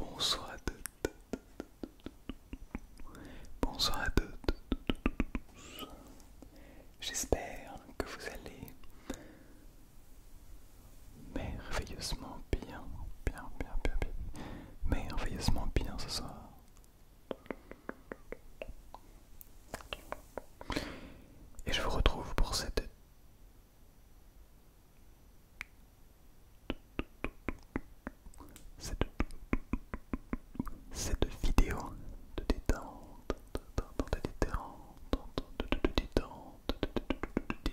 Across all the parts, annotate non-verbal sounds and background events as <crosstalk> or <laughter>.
Bonsoir à toutes. Bonsoir à tous, J'espère que vous allez merveilleusement bien, bien, bien, bien, bien, merveilleusement bien ce soir. Et je vous retrouve pour cette cette, vidéo de détente, de détente, de détente, de détente,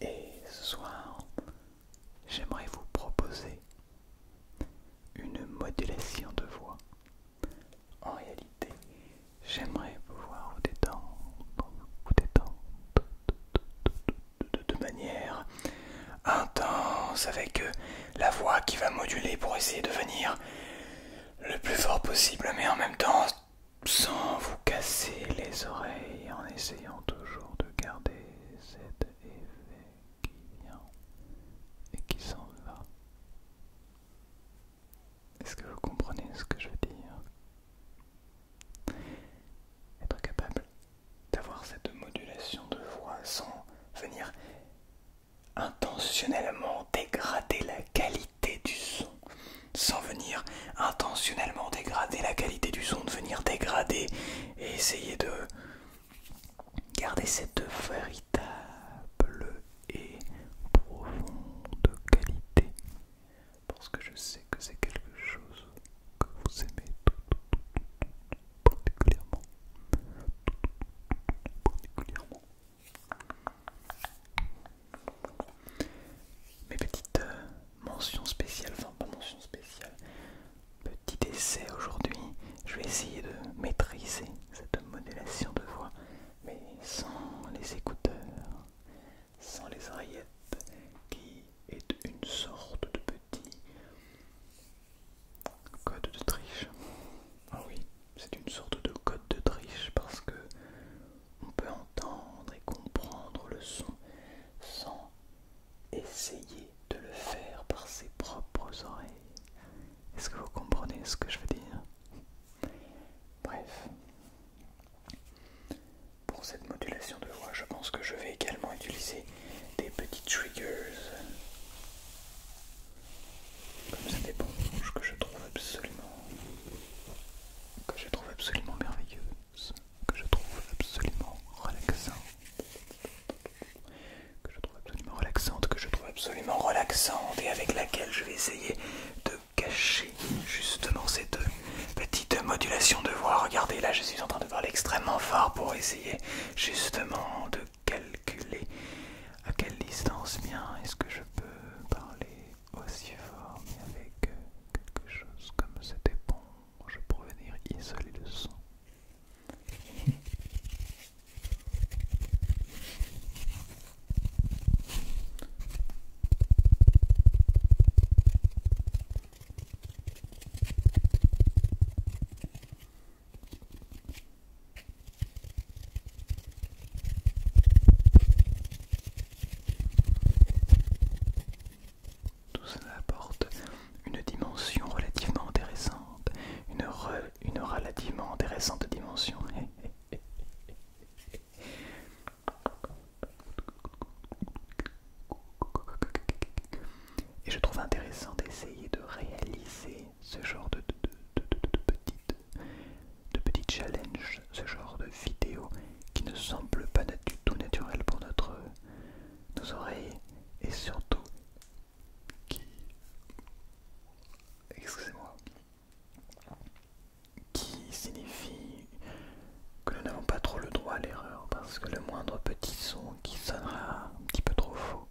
Et ce soir, j'aimerais vous proposer une modulation de voix. En réalité, j'aimerais pouvoir vous détendre, vous détendre de, de manière intense avec euh, la voix qui va moduler pour essayer de venir le plus fort possible, mais en même temps sans vous casser les oreilles, en essayant toujours de garder cet effet qui vient et qui s'en va. Est-ce que vous comprenez ce que je veux dire Être capable d'avoir cette modulation de voix sans venir intentionnellement dégrader la qualité du son sans venir intentionnellement dégrader la qualité du son, de venir dégrader et essayer de garder cette véritable et profonde qualité. Parce que je sais que c'est quelque chose que vous aimez particulièrement. particulièrement. Mes petites euh, mentions spéciales, enfin pas mentions spéciales, petit essai aujourd'hui. Je vais essayer de maîtriser cette modélisation de voix, mais sans les écouteurs, sans les oreillettes, qui est une sorte de petit Code de triche. Ah oui, c'est une sorte de code de triche parce que on peut entendre et comprendre le son sans essayer de le faire par ses propres oreilles. Est-ce que vous comprenez ce que je veux dire Bref. Pour cette modulation de voix, je pense que je vais également utiliser des petits triggers comme ça des que je trouve absolument que je trouve absolument merveilleuse, que je trouve absolument relaxante, que je trouve absolument relaxante, que je trouve absolument relaxante et avec laquelle je vais essayer de cacher justement ces deux petites modulations de voix. Regardez là, je suis en train de parler extrêmement fort pour essayer justement de calculer à quelle distance bien est-ce que je peux parler aussi fort mais avec euh, quelque chose comme cette Je pour venir isoler le son. Tout cela apporte une dimension relativement intéressante, une, relativement intéressante dimension. <laughs> Et je trouve intéressant d'essayer de réaliser ce genre de, de, de, petites petits challenges, ce genre de vidéos qui ne semble pas du tout naturel pour notre, nos oreilles et surtout qui, qui signifie que nous n'avons pas trop le droit à l'erreur parce que le moindre petit son qui sonnera un petit peu trop faux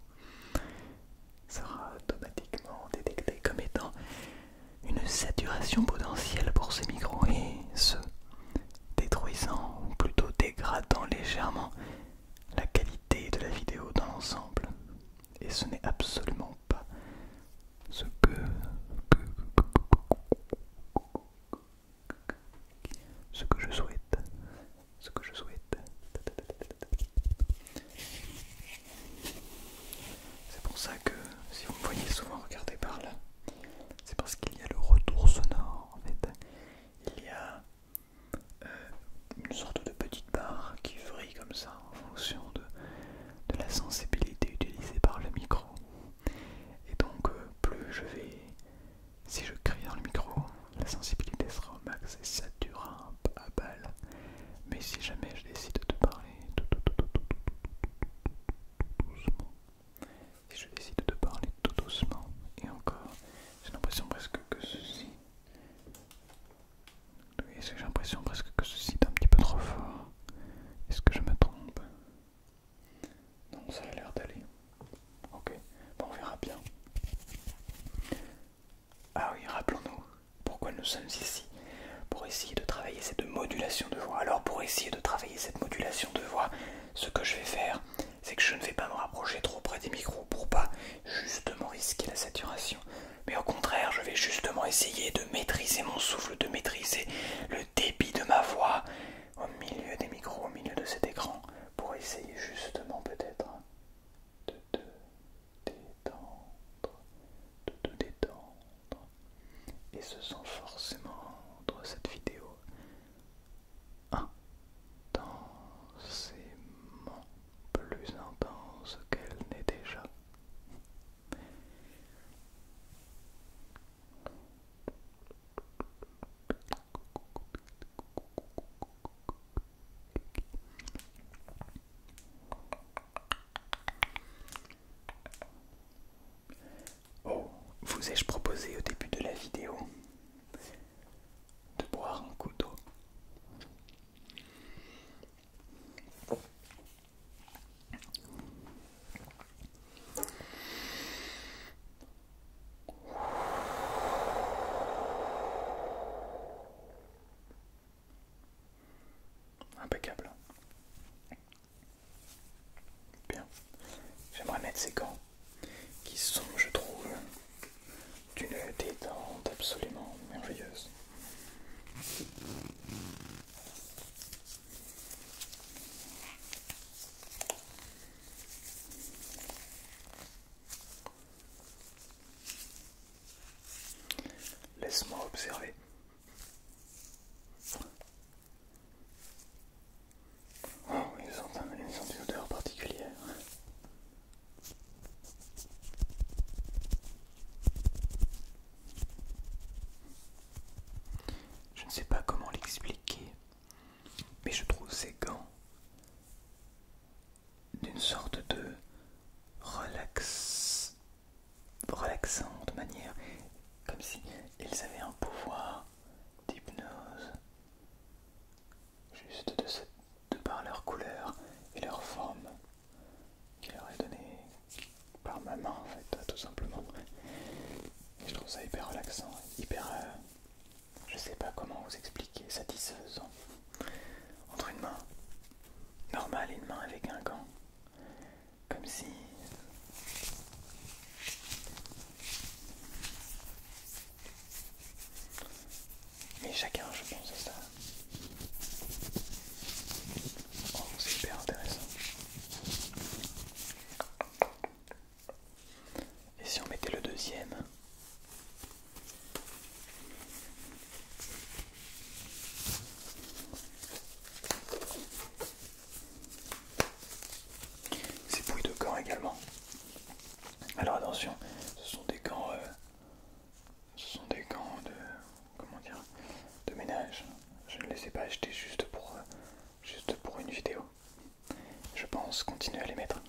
sera automatiquement détecté comme étant une saturation potentielle pour ces micros et ce détruisant ou plutôt dégradant légèrement la qualité de la vidéo dans l'ensemble. Et ce n'est absolument pas ce que, ce que je souhaite. Ce que je souhaite. C'est pour ça que si vous me voyez souvent regarder par là, c'est parce qu'il y a le retour sonore en fait. Il y a euh, une sorte de petite barre qui vrille comme ça en fonction de, de la sensibilité utilisée par le micro. Et donc euh, plus je vais... Si je crie dans le micro, la sensibilité sera au max et ça durera un peu à balle. Mais si jamais je décide de parler tout, doucement, si je décide de parler tout doucement, et encore, j'ai l'impression presque que ceci. Oui, j'ai l'impression presque que ceci est un petit peu trop fort. Est-ce que je me trompe Non, ça a l'air d'aller. Ok, on verra bien. Ah oui, rappelons-nous pourquoi nous sommes ici. Pour essayer de travailler cette modulation de voix. Alors pour essayer de travailler cette modulation de voix, ce que je vais faire, c'est que je ne vais pas me rapprocher trop près des micros pour pas justement risquer la saturation. Mais au contraire, je vais justement essayer de maîtriser mon souffle, de maîtriser le débit de ma voix au milieu des micros, au milieu de cet écran, pour essayer justement peut-être de, de, détendre, de te détendre. Et ce sont forcément dans cette vidéo intensément plus intense qu'elle n'est déjà. Oh, vous ai-je proposé au début de la vidéo de boire un coup d'eau Impeccable. Bien. J'aimerais mettre ces gants qui sont, je trouve, d'une détente absolument merveilleuse. Laisse-moi observer. Oh, ils ont, une odeur particulière. Je ne sais pas comment l'expliquer, mais je trouve ces gants d'une sorte de relax, de manière, comme si ils avaient un pouvoir d'hypnose, juste de, par leur couleur et leur forme qui leur est donnée par ma main en fait, tout simplement. je trouve ça hyper relaxant, hyper... Euh, je sais pas comment vous expliquer, satisfaisant. Entre une main normal une main avec un gant. Comme si... Mais chacun, je pense à ça. Oh, c'est hyper intéressant. Et si on mettait le deuxième ces bouilles de gants également. Alors attention, ce sont des gants, euh, ce sont des gants de comment dire, de ménage. Je ne les ai pas achetés juste pour, euh, juste pour une vidéo. Je pense continuer à les mettre.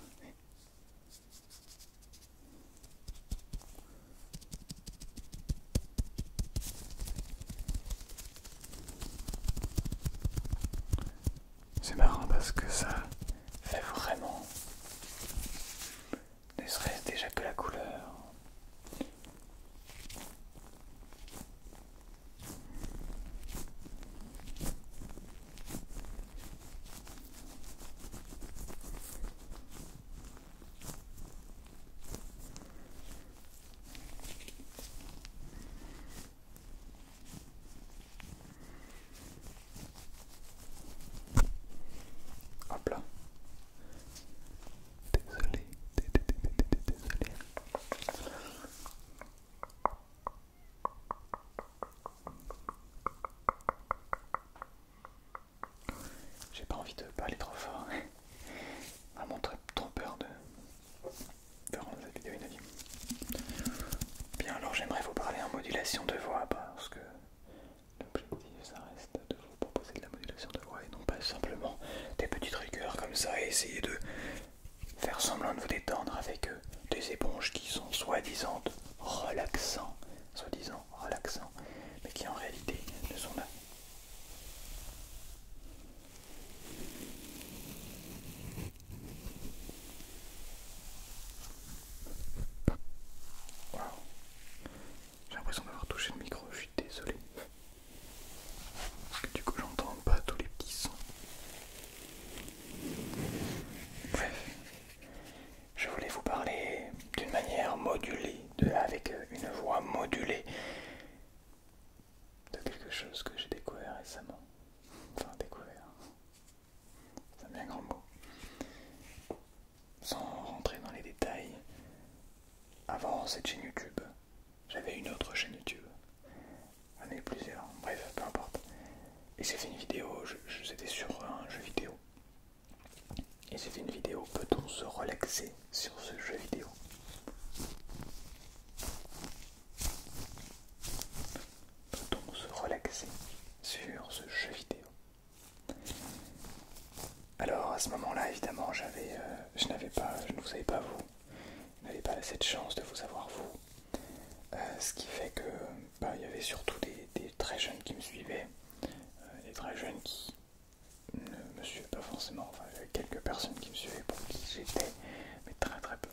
C'est marrant parce que ça fait vraiment, ne serait-ce déjà que la couleur. Hop là. Désolé, désolé. J'ai pas envie de parler trop fort. à <laughs> montrer trop peur de, faire rendre cette vidéo inaudible. Bien alors j'aimerais vous parler en modulation de voix parce que l'objectif ça reste de vous proposer de la modulation de voix et non pas simplement des petits rigueurs comme ça et essayer de faire semblant de vous détendre avec euh, des éponges qui sont soi-disant relaxants, soi-disant relaxant, mais qui en réalité ne sont là J'ai l'impression d'avoir touché le micro, je suis désolé. Parce que du coup j'entends pas tous les petits sons. Bref je voulais vous parler d'une manière modulée, avec euh, une voix modulée, de quelque chose que j'ai découvert récemment. Enfin, découvert, Ça un grand mot. Sans rentrer dans les détails, avant cette chaîne YouTube, j'avais une autre chaîne YouTube. J'en plusieurs, bref, peu importe. Et j'ai fait une vidéo, j'étais sur un jeu vidéo. Et c'est une vidéo peut-on se relaxer sur ce jeu vidéo Peut-on se relaxer sur ce jeu vidéo Alors à ce moment-là, évidemment, j'avais, euh, je n'avais pas, je ne vous savais pas vous, je n'avais pas cette chance de vous avoir, vous, euh, ce qui fait que bah, il y avait surtout des, très jeunes qui me suivaient, euh, des très jeunes qui ne me suivait pas forcément. Enfin, il y avait quelques personnes qui me suivaient pour qui j'étais, mais très très peu.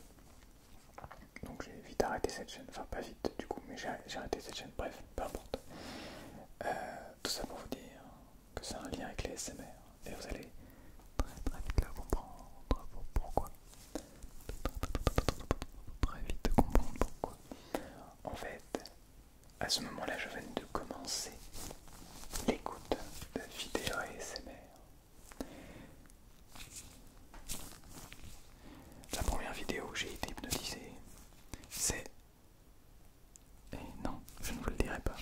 Donc j'ai vite arrêté cette chaîne, enfin pas vite du coup, mais j'ai arrêté cette chaîne, bref, peu importe. tout ça pour vous dire que c'est un lien avec les SMR et vous allez très très vite comprendre pourquoi. Très vite comprendre pourquoi. En fait, à ce moment-là, je viens de commencer l'écoute de vidéos ASMR. La première vidéo où j'ai été hypnotisé, c'est. Et non, je ne vous le dirai pas.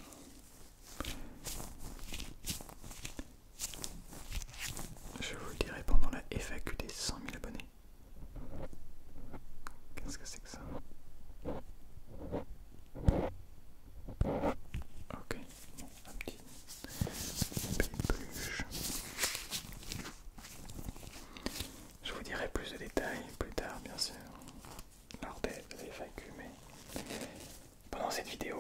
Je vous le dirai pendant la FAQ des 100 000 abonnés. Qu'est-ce que c'est que ça Ok, bon, un petit peluche. Je vous dirai plus de détails plus tard, bien sûr, lors des, FAQ, mais pendant cette vidéo,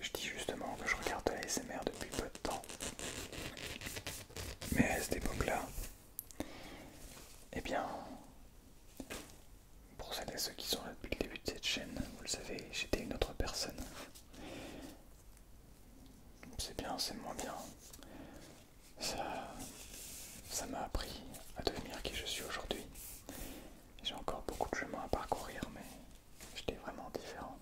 je dis justement que je regarde la depuis peu de temps. Mais à cette époque-là, eh bien, pour celles et ceux qui sont là depuis le début de cette chaîne, vous le savez, j'étais une autre personne. C'est bien, c'est moins bien. Ça m'a appris à devenir qui je suis aujourd'hui. J'ai encore beaucoup de chemin à parcourir, mais j'étais vraiment différent.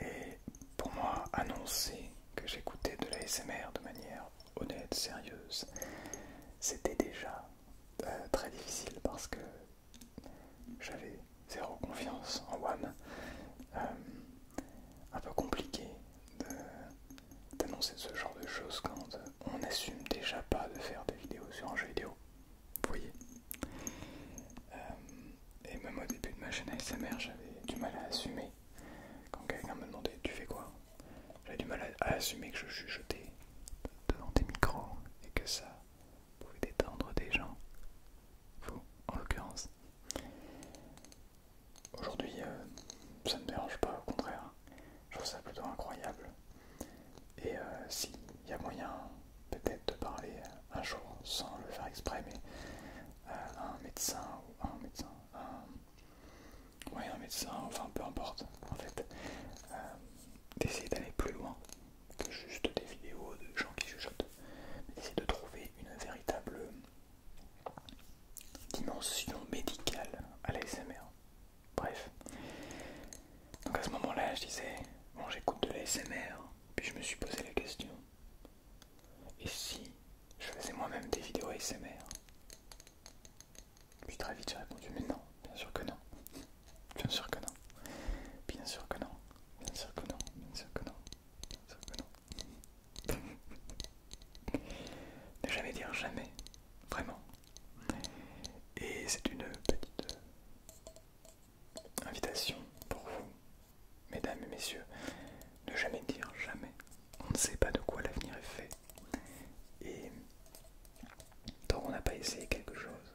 Et pour moi, annoncer que j'écoutais de la de manière honnête, sérieuse, c'était déjà euh, très difficile parce que j'avais zéro confiance en One. Euh, un peu compliqué d'annoncer ce genre de choses quand on n'assume déjà pas de faire des vidéos sur un jeu vidéo. Vous voyez euh, Et même au début de ma chaîne ASMR, j'avais du mal à assumer quand quelqu'un me demandait Tu fais quoi J'avais du mal à, assumer que je suis jeté devant des micros et que ça pouvait détendre des gens. Vous, en l'occurrence. Aujourd'hui, euh, ça ne me dérange pas, au contraire. Je trouve ça plutôt incroyable. Et euh, s'il y a moyen, peut-être, de parler un jour sans le faire exprès, mais euh, un médecin ou à un médecin euh, un, médecin, enfin peu importe, en fait, euh, d'essayer d'aller plus loin que juste des vidéos de gens qui chuchotent, d'essayer de trouver une véritable dimension médicale à l'ASMR. Bref. Donc à ce moment-là, je disais, bon j'écoute de l'ASMR, puis je me suis posé la question, et si je faisais moi-même des vidéos ASMR Puis très vite j'ai répondu mais non, bien sûr que non. Bien sûr que non. Bien sûr que non. Bien sûr que non. Bien sûr que non. Bien sûr que non. <laughs> ne jamais dire jamais. Vraiment. Et c'est une petite euh, invitation pour vous Mesdames et messieurs, ne jamais dire jamais. On ne sait pas de quoi l'avenir est fait. Et tant qu'on n'a pas essayé quelque chose,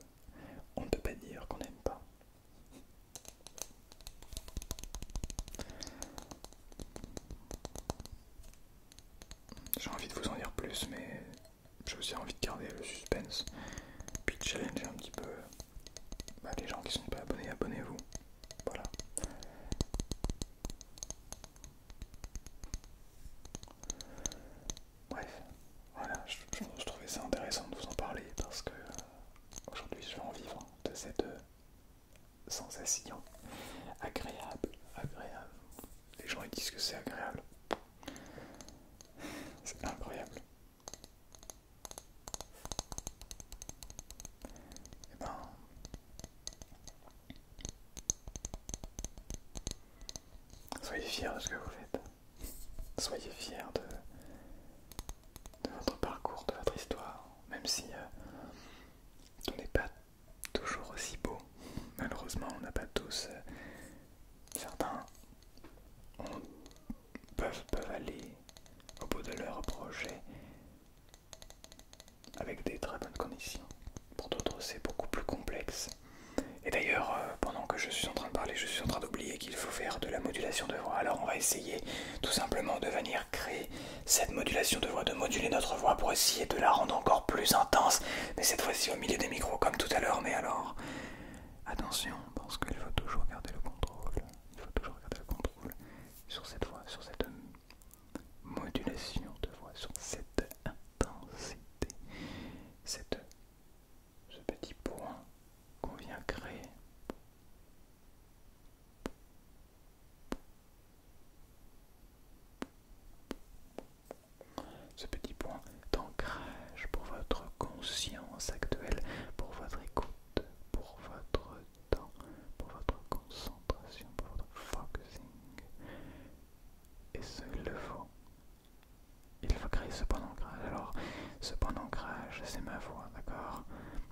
on ne peut pas dire qu'on n'aime pas. J'ai envie de vous en dire plus, mais j'ai aussi envie de garder le suspense, puis de challenger un petit peu bah, les gens qui sont pas abonnés, abonnez-vous. Voilà. Bref, voilà, je, trouvais ça intéressant de vous en parler parce que euh, aujourd'hui je vais en vivre de cette euh, sensation agréable, agréable. Les gens ils disent que c'est agréable. C'est incroyable. Et eh ben Soyez fiers de ce que vous faites. Soyez fiers de, votre parcours, de votre histoire, même si euh, on n'est pas toujours aussi beau. Malheureusement, on n'a pas tous. Euh, certains peuvent, peuvent aller au bout de leur projet avec des très bonnes conditions. Pour d'autres, c'est beaucoup plus complexe. Et d'ailleurs, euh, pendant que je suis en train de parler, je suis en train d'oublier qu'il faut faire de la modulation de voix. Alors on va essayer tout simplement de venir créer cette modulation de voix, de moduler notre voix pour essayer de la rendre encore plus intense. Mais cette fois-ci au milieu des micros comme tout à l'heure. Mais alors, attention, parce qu'il faut toujours garder le contrôle. Il faut toujours garder le contrôle sur cette voix, sur cette modulation de voix, sur cette intensité, cette, ce petit point qu'on vient créer. Ce petit point d'ancrage pour votre conscience actuelle, pour votre écoute, pour votre pour votre concentration, pour votre focusing. Et ce, il le faut. Il faut créer ce point d'ancrage. Alors, ce point d'ancrage, c'est ma voix, d'accord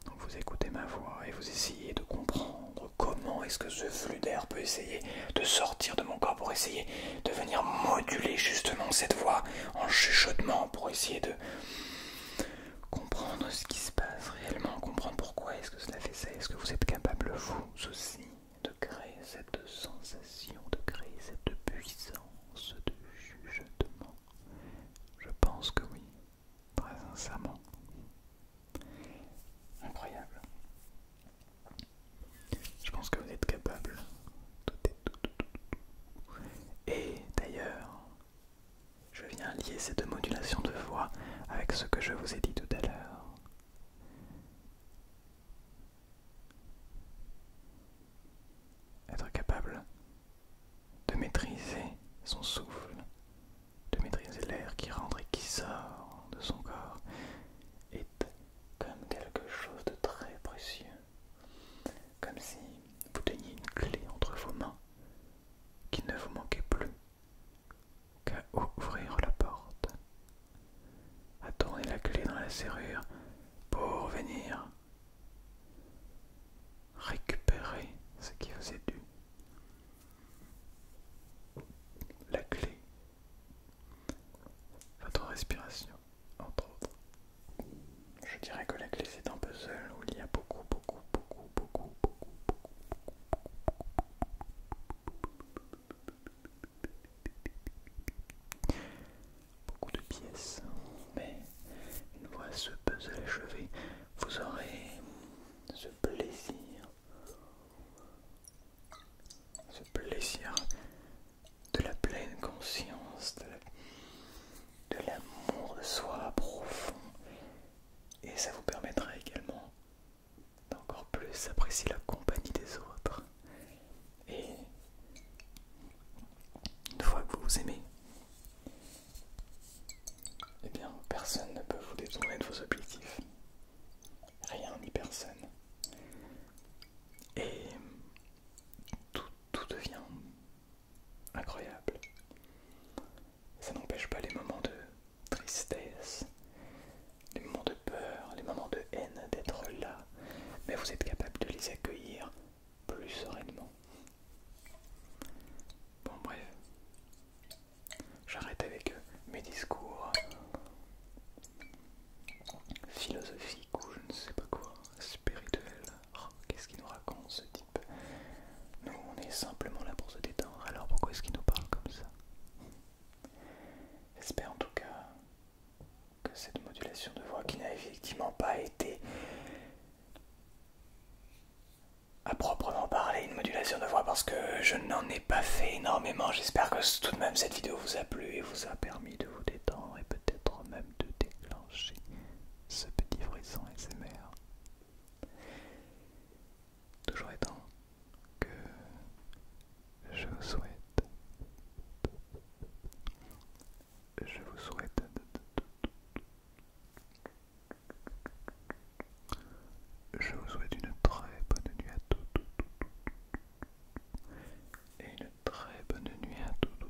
Donc vous écoutez ma voix et vous essayez de comprendre comment est-ce que ce flux d'air peut essayer de sortir de mon corps pour essayer de venir moduler justement cette voix en chuchotement pour essayer de comprendre ce qui se passe réellement, comprendre pourquoi est-ce que cela fait ça, est-ce que vous êtes capable, vous aussi, de créer cette sensation, de créer cette puissance de jugement Je pense que oui, très sincèrement. Incroyable. Je pense que vous êtes capable. Et d'ailleurs, je viens lier ces deux modulations de voix avec ce que je vous ai dit tout à l'heure. Être capable de maîtriser son souffle, de maîtriser l'air qui rentre et qui sort de son corps est comme quelque chose de très précieux. Comme si vous teniez une clé entre vos mains qui ne vous manquait plus qu'à ouvrir la porte, à tourner la clé dans la serrure pour venir récupérer ce qui vous est dû. La clé, votre respiration, entre autres. Je dirais que la clé c'est un puzzle où il y a beaucoup, beaucoup, beaucoup, beaucoup, beaucoup, beaucoup, de pièces. Mais une fois ce puzzle achevé, vous aurez ce plaisir, ce plaisir de la pleine conscience, de l'amour de soi profond. Et ça vous permettra également encore plus apprécier la compagnie des autres. Et une fois que vous vous aimez, eh bien, personne ne peut vous détourner de vos objectifs. Rien ni personne. Et tout, tout devient incroyable. Ça n'empêche pas les moments de tristesse, les moments de peur, les moments de haine, d'être là, mais vous êtes capable de les accueillir plus sereinement. Bon bref, j'arrête avec euh, mes discours philosophiques ou je ne sais pas quoi, spirituels. Oh, qu'est-ce qu'il nous raconte ce type nous, on est simplement là pour se détendre, alors pourquoi est-ce qu'il nous parle comme ça J'espère en tout cas que cette modulation de voix qui n'a effectivement pas été à proprement parler une modulation de voix parce que je n'en ai pas fait énormément. J'espère que tout de même cette vidéo vous a plu et vous a permis de vous détendre et peut-être même de déclencher ce petit frisson SMR. Toujours étant que je vous souhaite, je vous souhaite je vous souhaite une très bonne nuit à toutes et une très bonne nuit à tous.